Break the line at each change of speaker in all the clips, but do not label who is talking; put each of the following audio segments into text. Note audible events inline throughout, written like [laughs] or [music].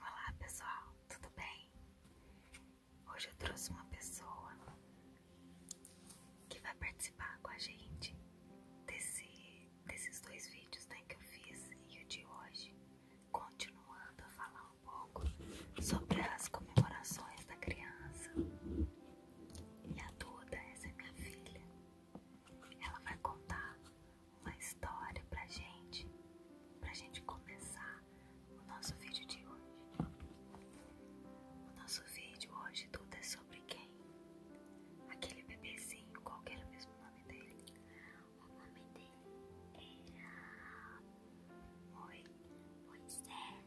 Olá pessoal, tudo bem? Hoje eu trouxe uma pessoa que vai participar com a gente desses dois vídeos né, que eu fiz e o de hoje, continuando a falar um pouco sobre as comemorações da criança. E a Duda, essa é minha filha, ela vai contar uma história pra gente, pra gente começar o nosso vídeo de hoje. O nosso vídeo hoje tudo é sobre quem? Aquele bebezinho, qual era o mesmo nome dele? O nome dele era. Oi, Moisés.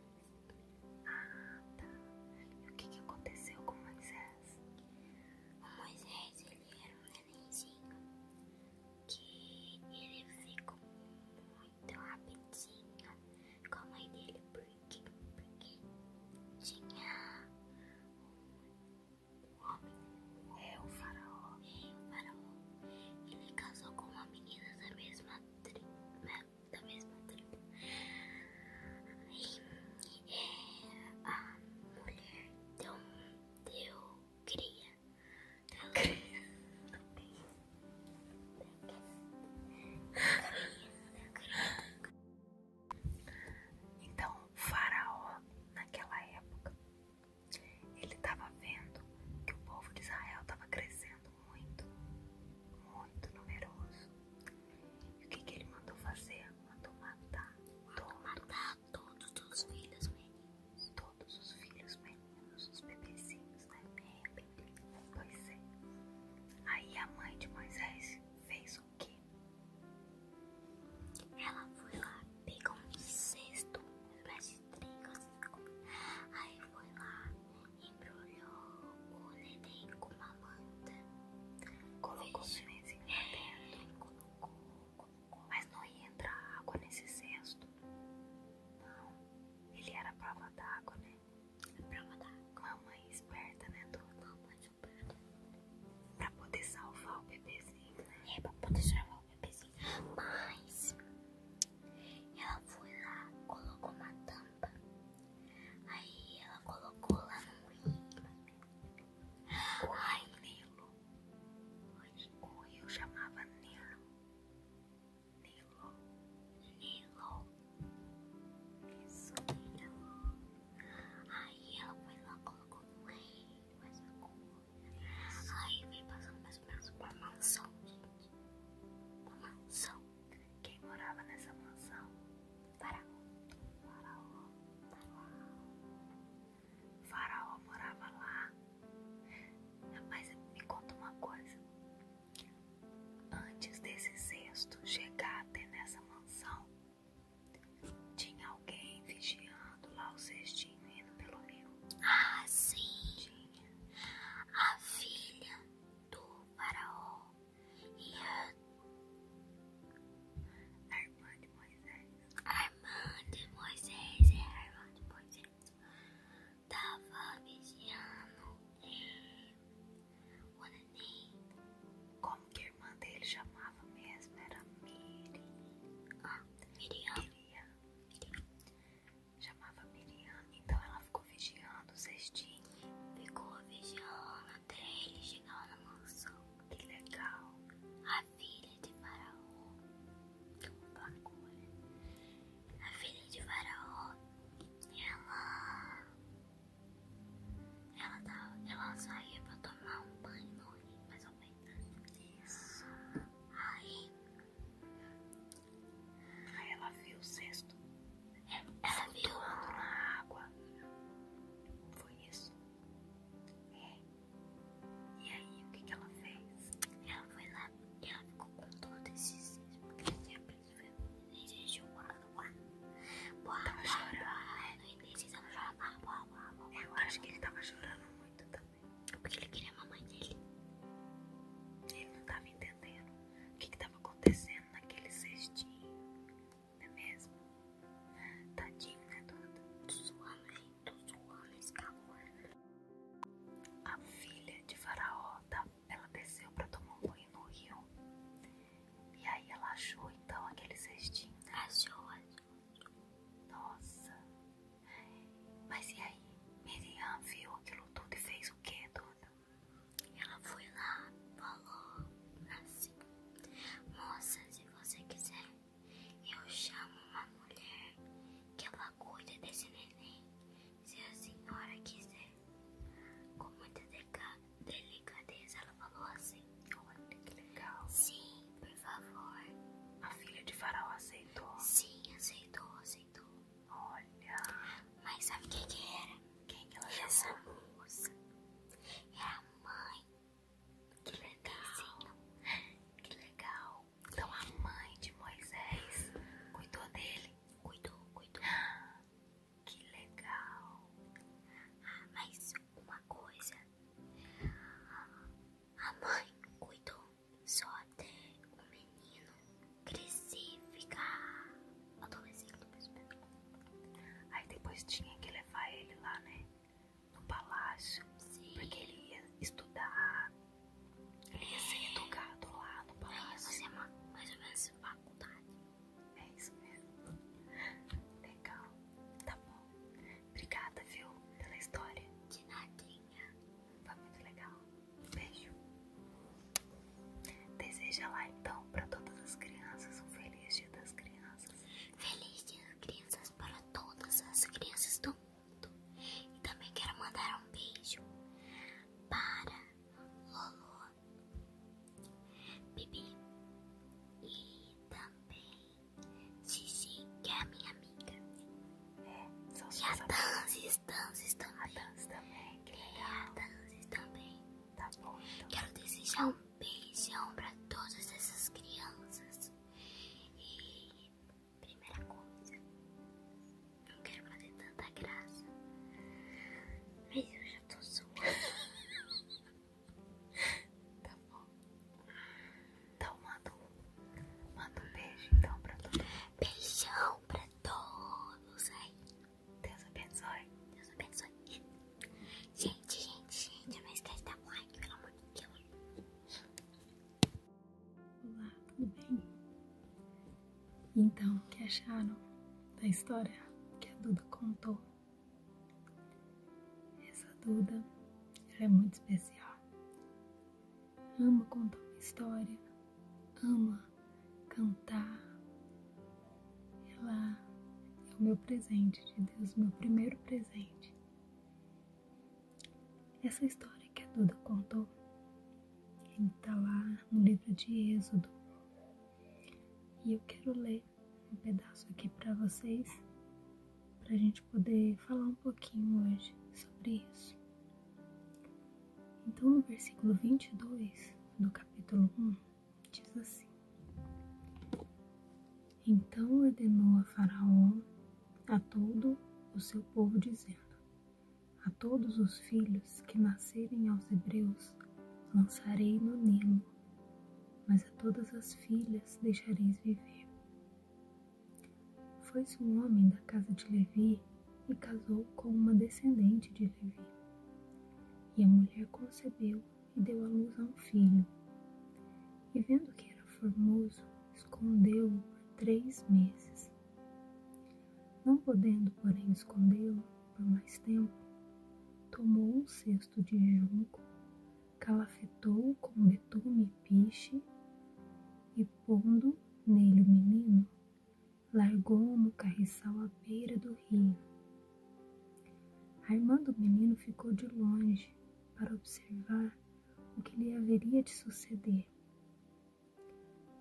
Ah, tá. E o que, que aconteceu com Moisés? O Moisés ele era um nenenzinho que ele ficou muito rapidinho com a mãe dele, porque, porque tinha um homem, é, é o faraó, ele casou com uma menina da mesma tribo, né, da mesma tribo, e é, a mulher deu cria. Não cria. Não cria. Não cria. Então, o faraó, naquela época, ele estava vendo que o povo de Israel estava crescendo muito, muito numeroso. E o que, que ele mandou fazer? Mandou matar todo todos os filhos meninos, todos os filhos meninos, os bebezinhos, né? É, bebê. Pois é. Aí a mãe de Moisés fez o quê? Ela foi lá, pegou um cesto, um de trigo, aí foi lá, embrulhou o neném com uma manta, colocou o nenenzinho dentro, colocou, colocou mas não ia entrar água nesse cesto. Não, ele era a prova d'água, né? A é prova d'água. Mãe esperta, né, Duda? Mãe esperta. Pra poder salvar o bebezinho, né? É, pra poder salvar o bebezinho. Mas ela foi lá, colocou uma tampa. Aí ela colocou lá no rio. Ai, Nilo mas o rio chamava Nilo. Nilo, Nilo, isso Nilo. Aí ela foi lá, colocou no rei, mais uma coisa. Aí vem passando mais ou menos pra mansão, gente. Pra mansão. Quem morava nessa mansão? Faraó. Faraó. Faraó. O faraó morava lá. Mas me conta uma coisa. Antes desse cesto chegar até nessa mansão, tinha alguém vigiando lá o cestinho indo pelo rio. Ah, sim. Tinha. A filha do faraó e a irmã
de Moisés. Armando Moisés, é Moisés, tava vigiando o
Como que a irmã dele chamava mesmo? Era Miriam. Miriam. Chamava Miriam, então ela ficou vigiando o cestinho. Ficou vigiando até ele chegar na mansão. Que legal! A filha de Faraó. Que bagulho! A filha de Faraó, ela. Ela, tava, ela saía pra tomar um banho mas rio, mais ou Isso. Aí. Aí ela viu o cesto. Ela, ela viu. na água. Foi isso. É. E aí, o que, que ela fez? Ela foi lá e ela ficou com todo esse esses porque ela tinha pedido e jejum.
Boa, tava chorando.
E desde ela chorava. Eu acho que ele estava chorando muito também. Porque ele queria a mamãe dele. Ele não estava entendendo o que, estava acontecendo naquele cestinho não é mesmo? Tadinho, né, Duda? Tô suando, gente, tô suando esse calor. A filha de Faraó, tá, ela desceu pra tomar um banho no rio. E aí ela achou, então, aquele cestinho. Né? Achou, achou. Nossa. Mas e aí? Miriam viu aquilo tudo e fez o que, dona Ela foi lá, falou assim. Moças, se você quiser, eu chamo uma mulher que ela cuida desse neném, se a senhora quiser. Com muita delicadeza, ela falou assim. Olha que legal. Sim, por favor. A filha de Faraó aceitou? Sim, aceitou, aceitou. Olha. Mas sabe quem que era? Quem que ela Essa moça. Era é a mãe que legal. Que legal. Então a mãe de Moisés cuidou dele? Cuidou, cuidou. Que legal. Ah, mas uma coisa. A mãe cuidou só até o menino crescer e ficar adolescente. Aí depois tinha que levar ele lá, né? no palácio, Sim. porque ele ia estudar, ele ia é. ser educado lá no palácio. Não, fazer é mais ou menos faculdade. É isso mesmo. Legal, tá bom. Obrigada, viu, pela história. De nadinha. Foi muito legal. Beijo. Deseja lá então para todas as crianças um feliz dia das crianças. Feliz Dia das Crianças para todas as crianças do mundo. E também quero mandar um beijo para Lolo, Bibi e também Gigi, que é a minha amiga. É, são e a Tanzis, Tanzis também. A Tanzis também. Que é, a Tanzis também. Tá bom. Então. Quero desejar um beijão pra todas essas crianças. E primeira coisa, não quero fazer tanta graça, mas eu já tô suando. [laughs] tá bom? Então manda um, manda um beijo então pra todos. Beijão pra todos aí. Deus abençoe. Deus abençoe. Gente, gente, gente, não esquece de dar um like, pelo amor de Deus.
Olá, tudo bem? Então, o que acharam da história que a Duda contou? Essa Duda, é muito especial. Ama contar uma história, ama cantar, ela é o meu presente de Deus, meu primeiro presente. Essa história que a Duda contou, ele está lá no livro de Êxodo. E eu quero ler um pedaço aqui para vocês, para a gente poder falar um pouquinho hoje sobre isso. Então, no versículo 22 do capítulo 1 diz assim: Então ordenou a Faraó a todo o seu povo, dizendo: A todos os filhos que nascerem aos hebreus lançarei no Nilo, mas a todas as filhas deixareis viver. Foi-se um homem da casa de Levi e casou com uma descendente de Levi. E a mulher concebeu e deu a luz a um filho. E vendo que era formoso, escondeu-o por três meses. Não podendo, porém, escondê-lo por mais tempo, tomou um cesto de junco, calafetou com betume e piche, e pondo nele o menino, largou-o no carriçal à beira do rio a irmã do menino ficou de longe para observar o que lhe haveria de suceder.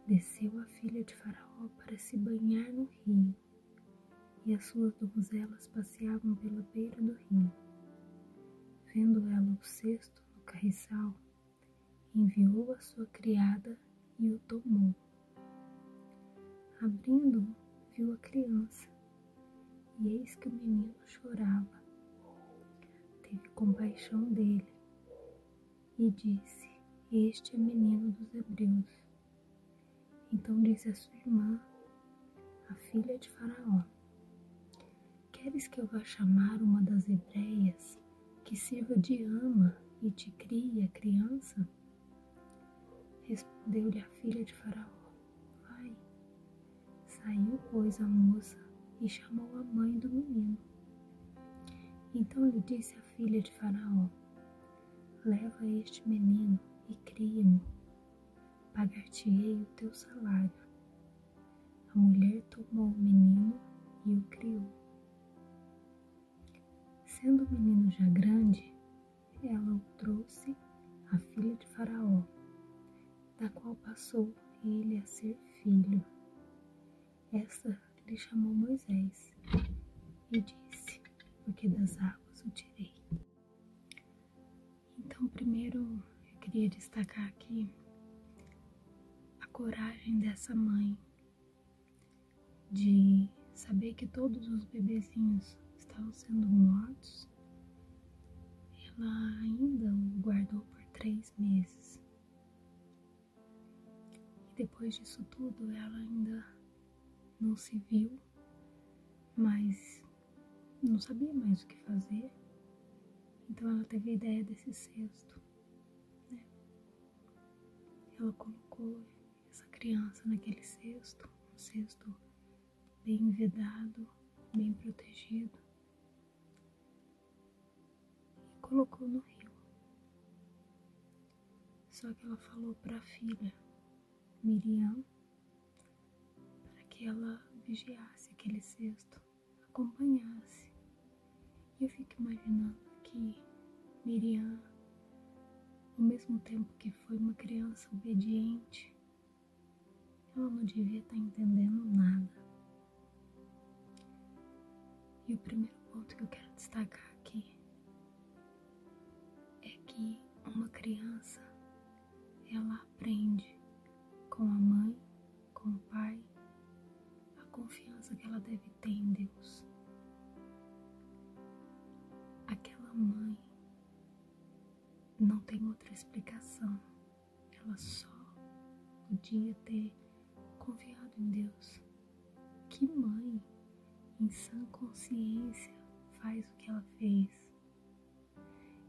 Desceu a filha de Faraó para se banhar no rio, e as suas donzelas passeavam pela beira do rio. Vendo ela o cesto no carriçal, enviou a sua criada e o tomou. Abrindo-o, viu a criança, e eis que o menino chorava. Teve compaixão dele e disse: Este é menino dos hebreus. Então disse a sua irmã, a filha de Faraó: Queres que eu vá chamar uma das hebreias que sirva de ama e te cria criança? Respondeu-lhe a filha de Faraó: Vai. Saiu, pois, a moça e chamou a mãe do menino. Então lhe disse a filha de Faraó: Leva este menino e cria-mo. Pagar-te-ei o teu salário. A mulher tomou o menino e o criou. Sendo o menino já grande, ela o trouxe à filha de Faraó, da qual passou ele a ser filho. Essa lhe chamou Moisés e disse: Porque das águas o tirei. Então, primeiro eu queria destacar aqui a coragem dessa mãe de saber que todos os bebezinhos estavam sendo mortos, ela ainda o guardou por três meses. E depois disso tudo, ela ainda não se viu, mas não sabia mais o que fazer. Então ela teve a ideia desse cesto. Né? Ela colocou essa criança naquele cesto, um cesto bem vedado, bem protegido, e colocou no rio. Só que ela falou para a filha, Miriam, para que ela vigiasse aquele cesto, acompanhasse. E eu fico imaginando que Miriam ao mesmo tempo que foi uma criança obediente, ela não devia estar tá entendendo nada. E o primeiro ponto que eu quero destacar aqui é que uma criança ela aprende com a mãe, com o pai, a confiança que ela deve tem Deus. Aquela mãe não tem outra explicação, ela só podia ter confiado em Deus. Que mãe, em sã consciência, faz o que ela fez?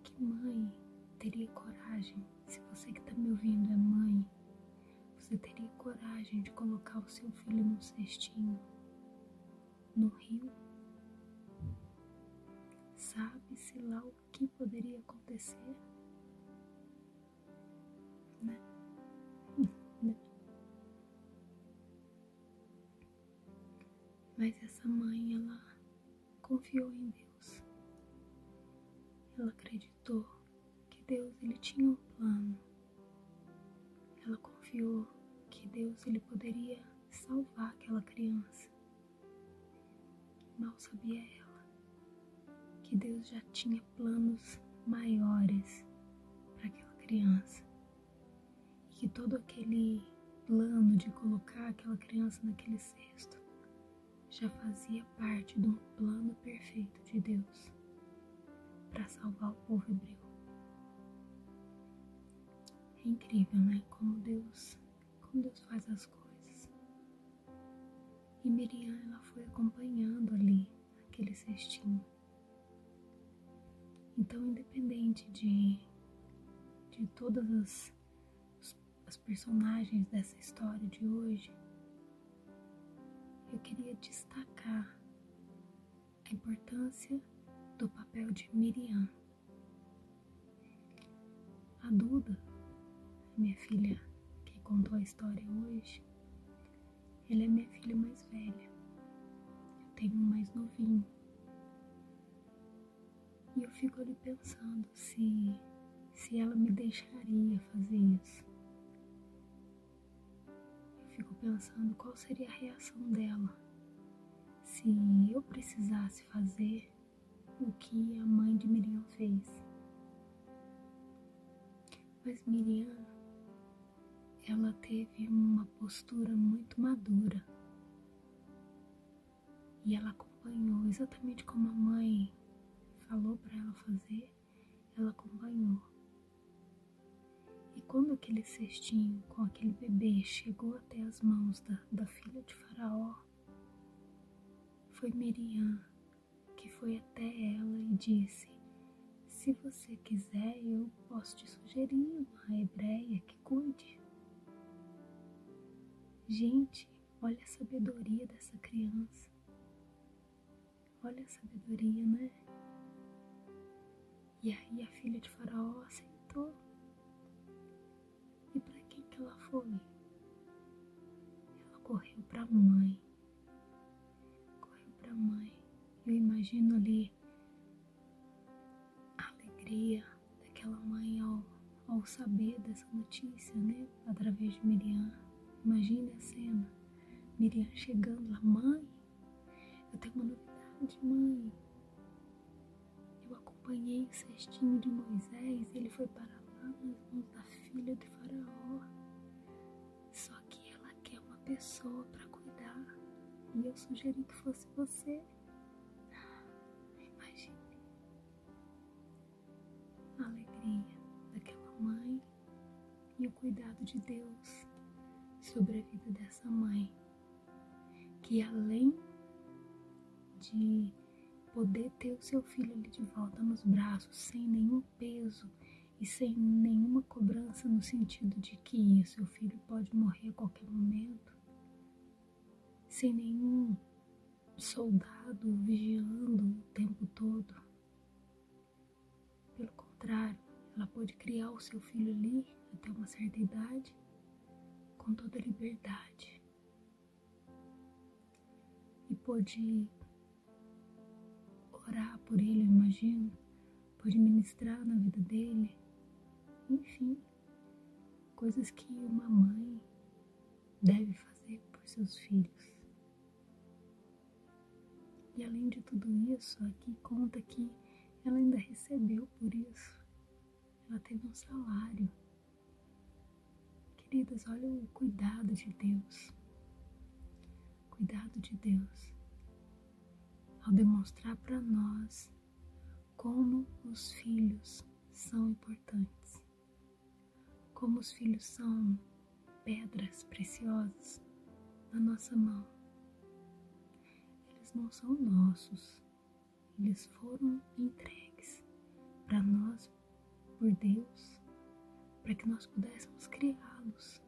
Que mãe teria coragem, se você que está me ouvindo é mãe, você teria coragem de colocar o seu filho num cestinho no rio? Sabe-se lá o que poderia acontecer? Né? Mas essa mãe, ela confiou em Deus. Ela acreditou que Deus ele tinha um plano. Ela confiou que Deus ele poderia salvar aquela criança. Mal sabia ela que Deus já tinha planos maiores para aquela criança. E que todo aquele plano de colocar aquela criança naquele cesto já fazia parte de um plano perfeito de Deus para salvar o povo hebreu. É incrível, né? Como Deus, como Deus faz as coisas. E Miriam ela foi acompanhando ali aquele cestinho. Então, independente de de todas as, as personagens dessa história de hoje, eu queria destacar a importância do papel de Miriam. A Duda, minha filha que contou a história hoje, ela é minha filha mais velha. Eu tenho um mais novinho. E eu fico ali pensando se, se ela me deixaria fazer isso. Eu fico pensando qual seria a reação dela se eu precisasse fazer o que a mãe de Miriam fez. Mas Miriam, ela teve uma postura muito madura e ela acompanhou exatamente como a mãe falou para ela fazer ela acompanhou. E quando aquele cestinho com aquele bebê chegou até as mãos da, da filha de Faraó, foi Miriam que foi até ela e disse: Se você quiser, eu posso te sugerir uma hebreia que cuide. Gente, olha a sabedoria dessa criança. Olha a sabedoria, né? E aí a filha de Faraó aceitou. E para quem que ela foi? Ela correu para a mãe. Correu para a mãe. Eu imagino ali a alegria daquela mãe ao, ao saber dessa notícia, né? Através de Miriam. Imagine a cena. Miriam chegando lá, mãe, eu tenho uma novidade, mãe. Eu acompanhei o cestinho de Moisés, ele foi para lá nas mãos da filha de Faraó. Só que ela quer uma pessoa para cuidar, e eu sugeri que fosse você. Imagine a alegria daquela mãe e o cuidado de Deus sobre a vida dessa mãe, que além de poder ter o seu filho ali de volta nos braços, sem nenhum peso e sem nenhuma cobrança no sentido de que o seu filho pode morrer a qualquer momento, sem nenhum soldado vigiando o tempo todo. Pelo contrário, ela pode criar o seu filho ali até uma certa idade com toda liberdade e pode orar por ele, eu imagino, pode ministrar na vida dele, enfim, coisas que uma mãe deve fazer por seus filhos. E além de tudo isso, aqui conta que ela ainda recebeu por isso. Ela teve um salário. Queridas, olha o cuidado de Deus. Cuidado de Deus ao demonstrar para nós como os filhos são importantes como os filhos são pedras preciosas na nossa mão. Eles não são nossos, eles foram entregues para nós por Deus, para que nós pudéssemos criá-los.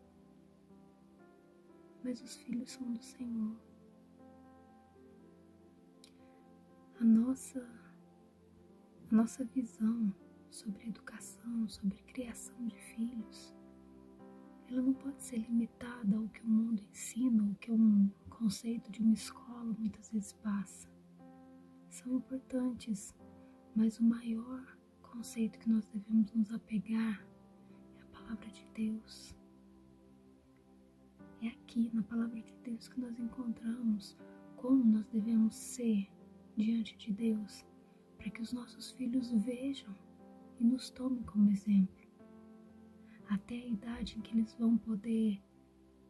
Mas os filhos são do Senhor. A nossa nossa visão sobre educação, sobre criação de filhos, ela não pode ser limitada ao que o mundo ensina, ao que um conceito de uma escola muitas vezes passa. São importantes, mas o maior conceito que nós devemos nos apegar é a palavra de Deus. É aqui, na palavra de Deus, que nós encontramos como nós devemos ser diante de Deus para que os nossos filhos vejam e nos tomem como exemplo, até a idade em que eles vão poder,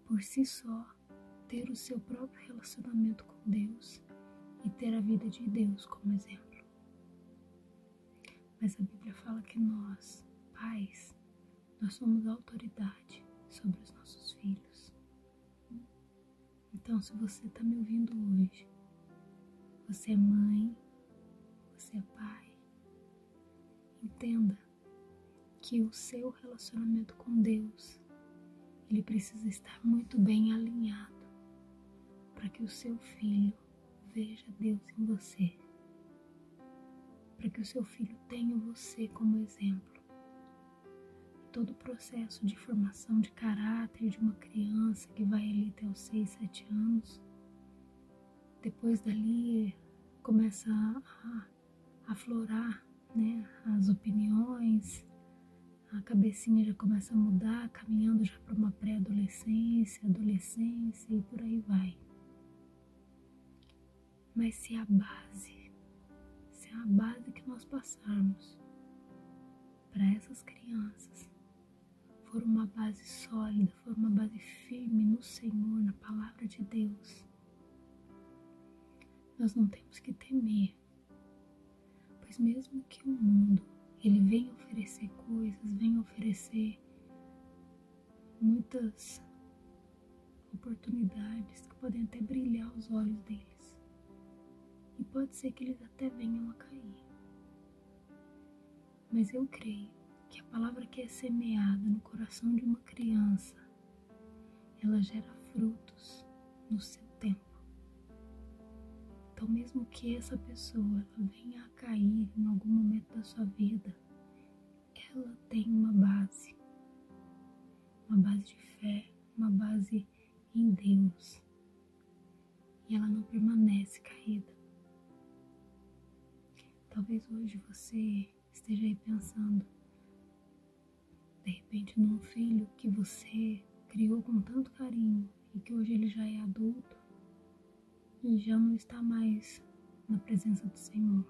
por si só, ter o seu próprio relacionamento com Deus e ter a vida de Deus como exemplo. Mas a Bíblia fala que nós, pais, nós somos autoridade sobre os nossos filhos. Então, se você está me ouvindo hoje, você é mãe, você é pai, entenda que o seu relacionamento com Deus ele precisa estar muito bem alinhado para que o seu filho veja Deus em você, para que o seu filho tenha você como exemplo, Todo o processo de formação de caráter de uma criança que vai ali até os 6, 7 anos, depois dali começa a aflorar né, as opiniões, a cabecinha já começa a mudar, caminhando já para uma pré-adolescência, adolescência e por aí vai. Mas se a base isso é a base que nós passarmos para essas crianças. For uma base sólida, for uma base firme no Senhor, na palavra de Deus. Nós não temos que temer, pois mesmo que o mundo ele vem oferecer coisas, venha oferecer muitas oportunidades que podem até brilhar os olhos dele e pode ser que eles até venham a cair. Mas eu creio que a palavra que é semeada no coração de uma criança, ela gera frutos no seu tempo. Então, mesmo que essa pessoa venha a cair em algum momento da sua vida, ela tem uma base uma base de fé, uma base em Deus. E ela não permanece caída. Talvez hoje você esteja aí pensando, de repente, num filho que você criou com tanto carinho e que hoje ele já é adulto e já não está mais na presença do Senhor.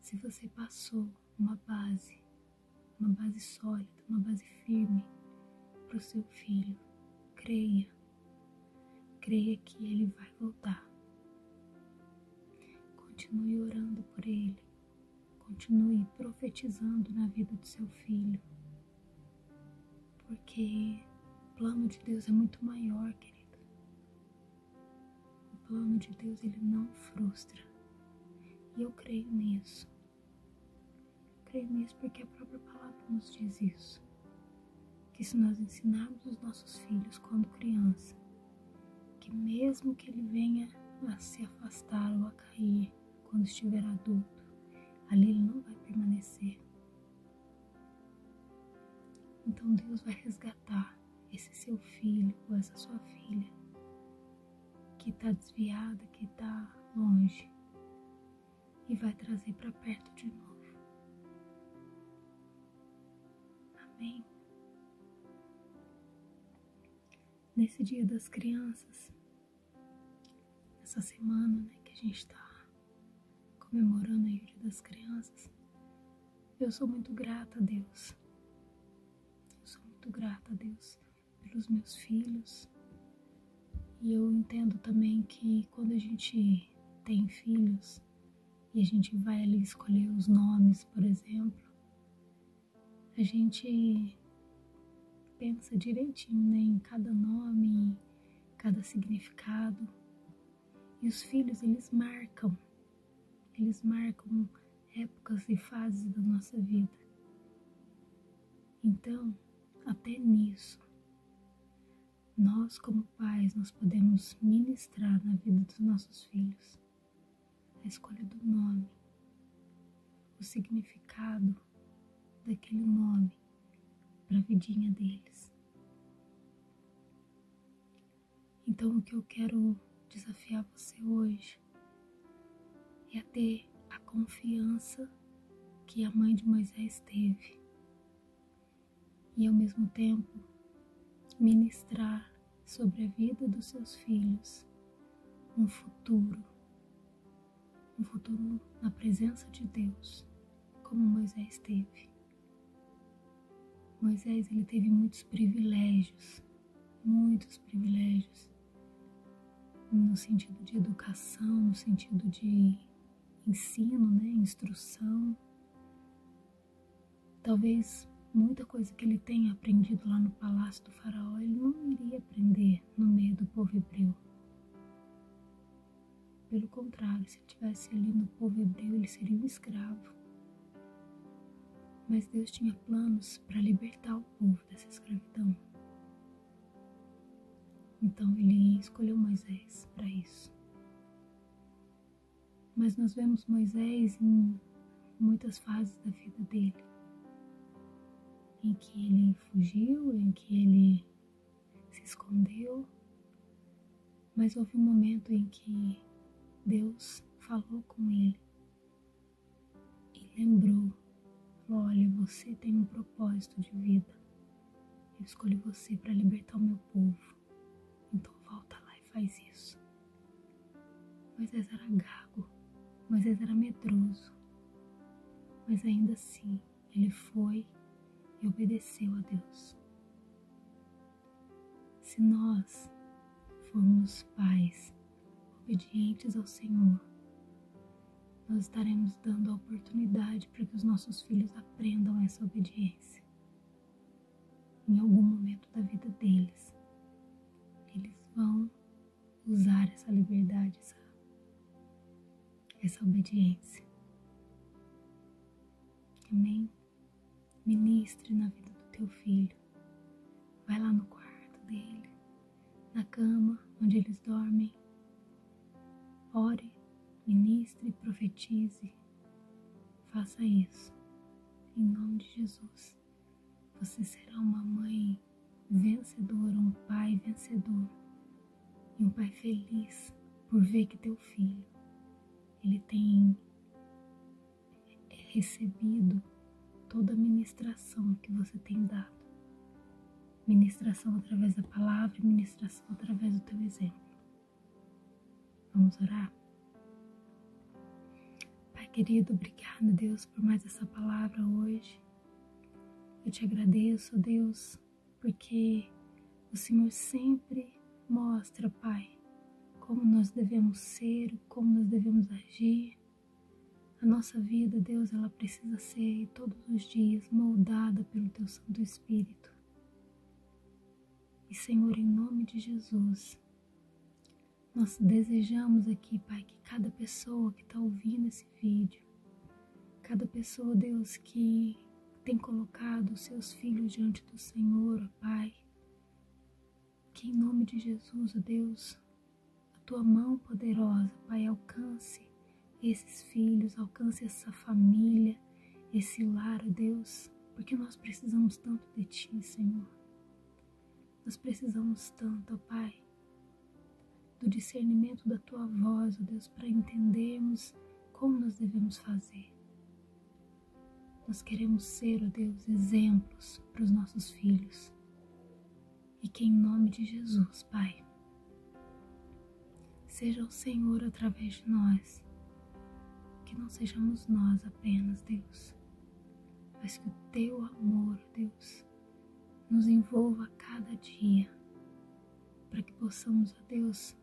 Se você passou uma base, uma base sólida, uma base firme para o seu filho. Creia, creia que ele vai voltar. Continue orando por ele, continue profetizando na vida do seu filho, porque o plano de Deus é muito maior, querido. O plano de Deus ele não frustra. E eu creio nisso. Eu creio nisso porque a própria palavra nos diz isso. Que se nós ensinarmos os nossos filhos quando criança, que mesmo que ele venha a se afastar ou a cair quando estiver adulto, ali ele não vai permanecer. Então Deus vai resgatar esse seu filho ou essa sua filha que está desviada, que está longe e vai trazer para perto de novo. Amém. Nesse dia das crianças, nessa semana né, que a gente está comemorando o dia das crianças, eu sou muito grata a Deus eu sou muito grata a Deus pelos meus filhos. E eu entendo também que quando a gente tem filhos e a gente vai ali escolher os nomes, por exemplo, a gente pensa direitinho né, em cada nome, em cada significado. E os filhos, eles marcam eles marcam épocas e fases da nossa vida. Então, até nisso, nós como pais nós podemos ministrar na vida dos nossos filhos a escolha do nome, o significado daquele nome para a vidinha deles. Então, o que eu quero desafiar você hoje é ter a confiança que a mãe de Moisés teve e, ao mesmo tempo, ministrar sobre a vida dos seus filhos um futuro, um futuro na presença de Deus, como Moisés teve. Moisés ele teve muitos privilégios, muitos privilégios no sentido de educação, no sentido de ensino, né, instrução. Talvez muita coisa que ele tenha aprendido lá no palácio do faraó, ele não iria aprender no meio do povo hebreu. Pelo contrário, se ele estivesse ali no povo hebreu, ele seria um escravo, mas Deus tinha planos para libertar o povo dessa escravidão. Então ele escolheu Moisés para isso. Mas nós vemos Moisés em muitas fases da vida dele, em que ele fugiu, em que ele se escondeu, mas houve um momento em que Deus falou com ele e lembrou: Olha, você tem um propósito de vida. Eu escolhi você para libertar o meu povo. Então volta lá e faz isso. Moisés era gago, Moisés era medroso, mas ainda assim ele foi e obedeceu a Deus. Se nós formos pais obedientes ao Senhor, nós estaremos dando a oportunidade para que os nossos filhos aprendam essa obediência. Em algum momento da vida deles, eles vão usar essa liberdade, essa, essa obediência. Amém? ministre na vida do teu filho. Vai lá no quarto dele, na cama onde eles dormem. Ore, ministre, profetize. Faça isso. Em nome de Jesus, você será uma mãe vencedora, um pai vencedor e um pai feliz por ver que teu filho ele tem recebido toda a ministração que você tem dado. Ministração através da palavra, ministração através do teu exemplo. Vamos orar? Pai querido, obrigado, Deus, por mais essa palavra hoje. Eu te agradeço, Deus, porque o Senhor sempre mostra, Pai, como nós devemos ser, como nós devemos agir. A nossa vida, Deus, ela precisa ser todos os dias moldada pelo Teu Santo Espírito. E, Senhor, em nome de Jesus, nós desejamos aqui, Pai, que cada pessoa que está ouvindo esse vídeo, cada pessoa, Deus, que tem colocado os seus filhos diante do Senhor, Pai, que em nome de Jesus, ó Deus, a tua mão poderosa, Pai, alcance esses filhos, alcance essa família, esse lar, ó Deus, porque nós precisamos tanto de ti, Senhor. Nós precisamos tanto, ó Pai, do discernimento da tua voz, ó Deus, para entendermos como nós devemos fazer. Nós queremos ser, ó oh Deus, exemplos para os nossos filhos. E que em nome de Jesus, Pai, seja o Senhor através de nós. Que não sejamos nós apenas, Deus, mas que o teu amor, Deus, nos envolva a cada dia, para que possamos, ó Deus,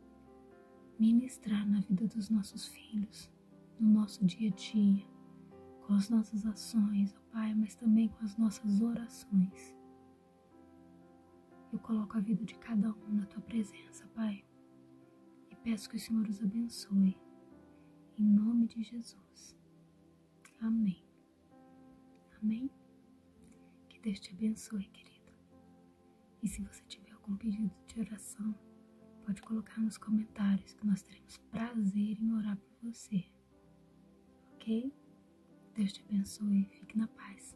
ministrar na vida dos nossos filhos, no nosso dia a dia, com as nossas ações, ó Pai, mas também com as nossas orações. Eu coloco a vida de cada um na tua presença, Pai, e peço que o Senhor os abençoe. Em nome de Jesus. Amém. Amém. Que Deus te abençoe, querido. E se você tiver algum pedido de oração, pode colocar nos comentários que nós teremos prazer em orar por você. Ok? Deus te abençoe e fique na paz.